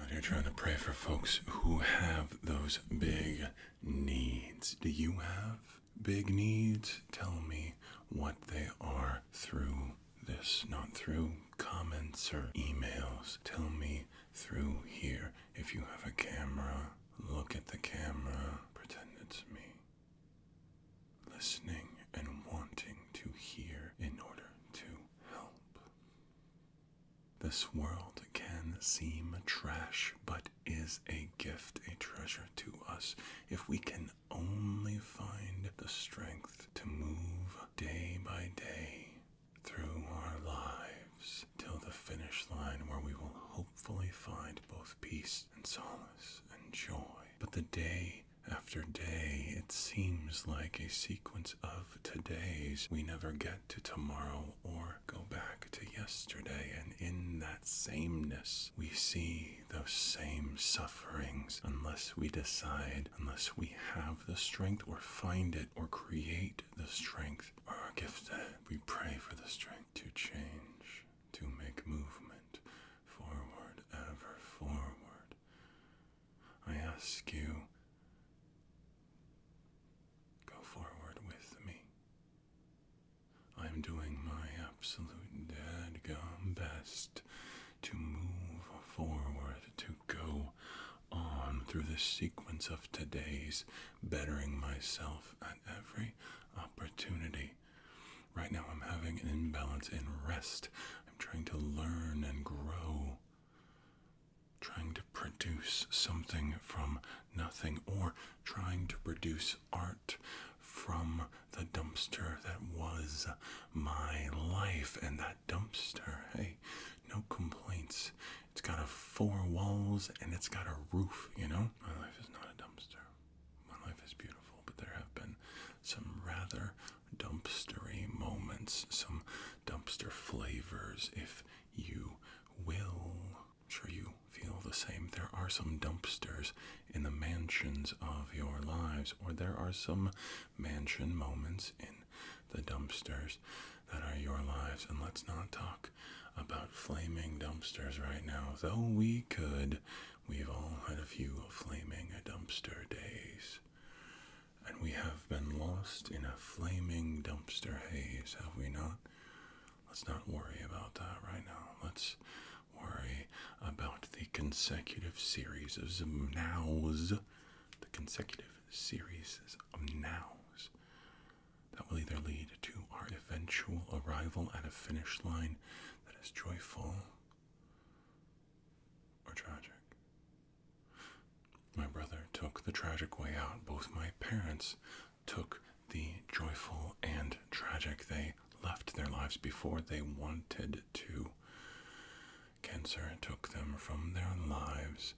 out here trying to pray for folks who have those big needs. Do you have big needs? Tell me what they are through this, not through comments or emails. Tell me through here. If you have a camera, look at the camera, pretend it's me. Listening and wanting to hear in order to help. This world can seem trash, but is a gift, a treasure to us, if we can only find the strength to move day by day through our lives till the finish line where we will hopefully find both peace and solace and joy. But the day after day, it seems like a sequence of todays. We never get to tomorrow or go back to yesterday, and in that sameness, we see those same sufferings unless we decide, unless we have the strength or find it or create the strength or gift that We pray for the strength to change, to make movement forward, ever forward. I ask you, go forward with me. I'm doing my absolute dead dadgum best to move forward, to go on through the sequence of today's, bettering myself at every opportunity. Right now, I'm having an imbalance in rest. I'm trying to learn and grow, trying to produce something from nothing, or trying to produce art from the dumpster that was my life. And that dumpster, hey, no complaints. It's got a four walls and it's got a roof, you know? My life is not a dumpster my life is beautiful, but there have been some rather dumpstery moments, some dumpster flavors, if you will. I'm sure you feel the same. There are some dumpsters in the mansions of your lives, or there are some mansion moments in the dumpsters that are your lives. And let's not talk about flaming dumpsters right now, though we could. We've all had a few flaming dumpster days. And we have been lost in a flaming dumpster haze, have we not? Let's not worry about that right now. Let's worry about the consecutive series of nows. The consecutive series of nows that will either lead to our eventual arrival at a finish line that is joyful or tragic. My brother took the tragic way out. Both my parents took the joyful and tragic. They left their lives before they wanted to. Cancer took them from their lives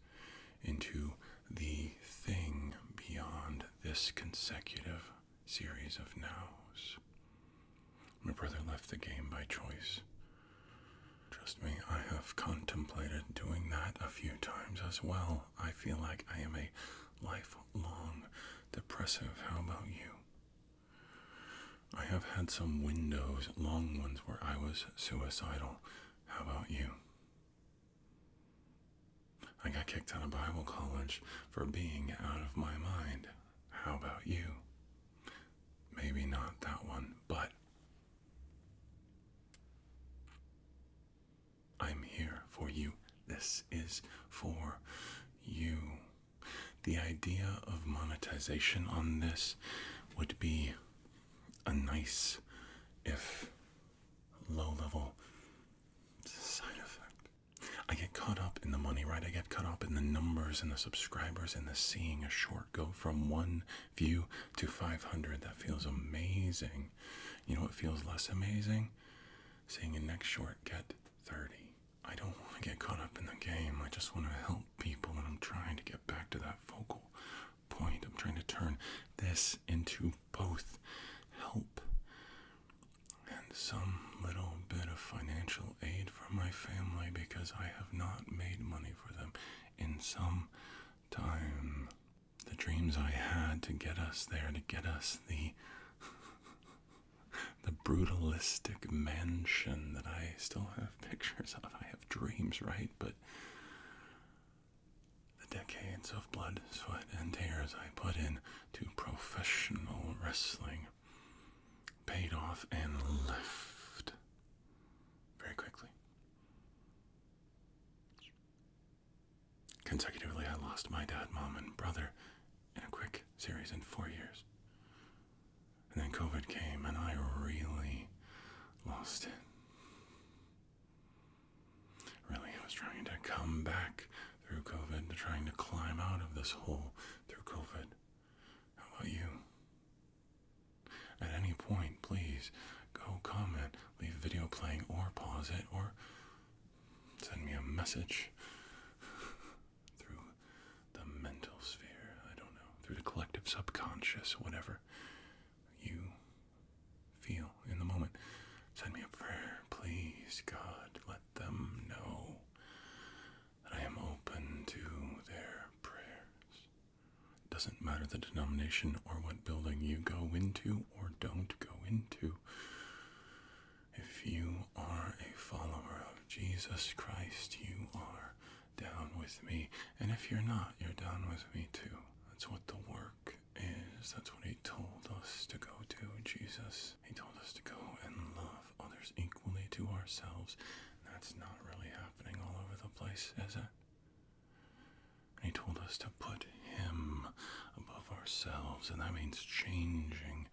into the thing beyond this consecutive series of nows. My brother left the game by choice. Trust me, I have contemplated doing that a few times as well. I feel like I am a lifelong depressive. How about you? I have had some windows, long ones, where I was suicidal. How about you? I got kicked out of Bible college for being out of my mind. How about you? Maybe not that one, but I'm here for you. This is for you. The idea of monetization on this would be a nice if low level side effect. I get caught up in the money, right? I get caught up in the numbers and the subscribers and the seeing a short go from one view to 500. That feels amazing. You know it feels less amazing? Seeing a next short get 30. I don't want to get caught up in the game. I just want to help people, and I'm trying to get back to that focal point. I'm trying to turn this into both help and some little bit of financial aid for my family because I have not made money for them in some time. The dreams I had to get us there, to get us the the brutalistic mansion that I still have pictures of. I have dreams, right? But the decades of blood, sweat, and tears I put in to professional wrestling paid off and left very quickly. Consecutively, I lost my dad, mom, and brother in a quick series in four years. And then COVID came, and I really lost it. Really, I was trying to come back through COVID, to trying to climb out of this hole through COVID. How about you? At any point, please go comment, leave video playing, or pause it, or send me a message through the mental sphere. I don't know, through the collective subconscious, whatever you feel in the moment. Send me a prayer, please, God. Let them know that I am open to their prayers. Doesn't matter the denomination or what building you go into or don't go into. If you are a follower of Jesus Christ, you are down with me. And if you're not, you're down with me too. That's what the work is. That's what he told us to go to, Jesus. He told us to go and love others equally to ourselves. That's not really happening all over the place, is it? He told us to put Him above ourselves, and that means changing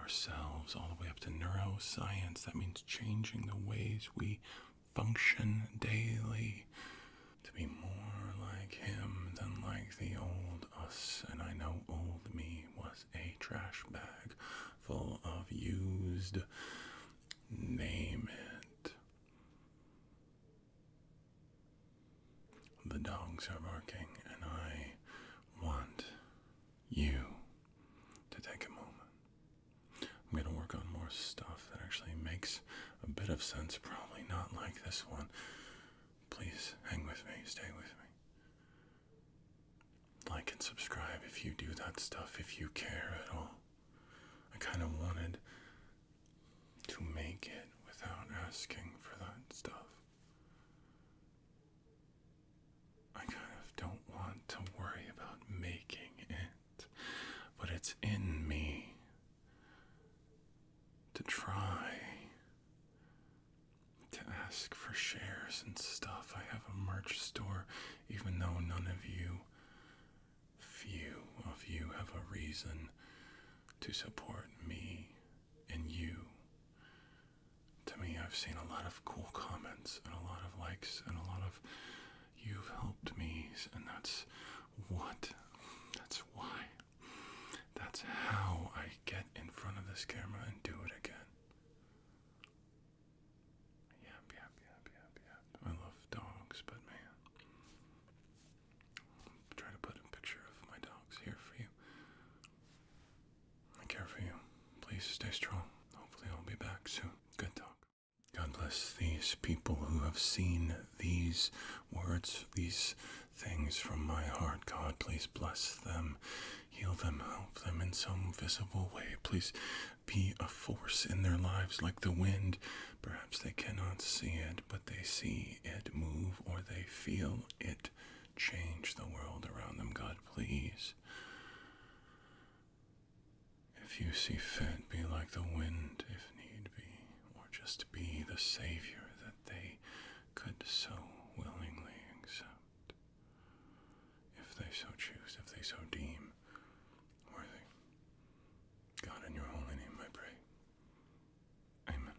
ourselves all the way up to neuroscience. That means changing the ways we function daily to be more like him than like the old us. And I know old me was a trash bag full of used, name it. The dogs are barking, and I want you to take a moment I'm going to work on more stuff that actually makes a bit of sense. Probably not like this one. Please hang with me, stay with me. Like and subscribe if you do that stuff, if you care at all. I kind of wanted to make it without asking for that stuff. I kind of don't want to worry about making it, but it's in me to try to ask for shares and stuff. I have a merch store, even though none of you, few of you, have a reason to support me and you to me, I've seen a lot of cool comments and a lot of likes and a lot of you've helped me, and that's what that's why that's how I get in front of this camera and do it again. Yep, yep, yep, yep, yep. I love dogs, but man, try to put a picture of my dogs here for you. I care for you. Please stay strong. Hopefully, I'll be back soon. Good talk. God bless these people who have seen these words, these things from my heart. God, please bless them, heal them, help them in some visible way. Please be a force in their lives like the wind. Perhaps they cannot see it, but they see it move or they feel it change the world around them, God, please. If you see fit, be like the wind if need be, or just be the Savior that they could so willingly accept, if they so choose, if they so deem worthy. God, in your holy name I pray. Amen.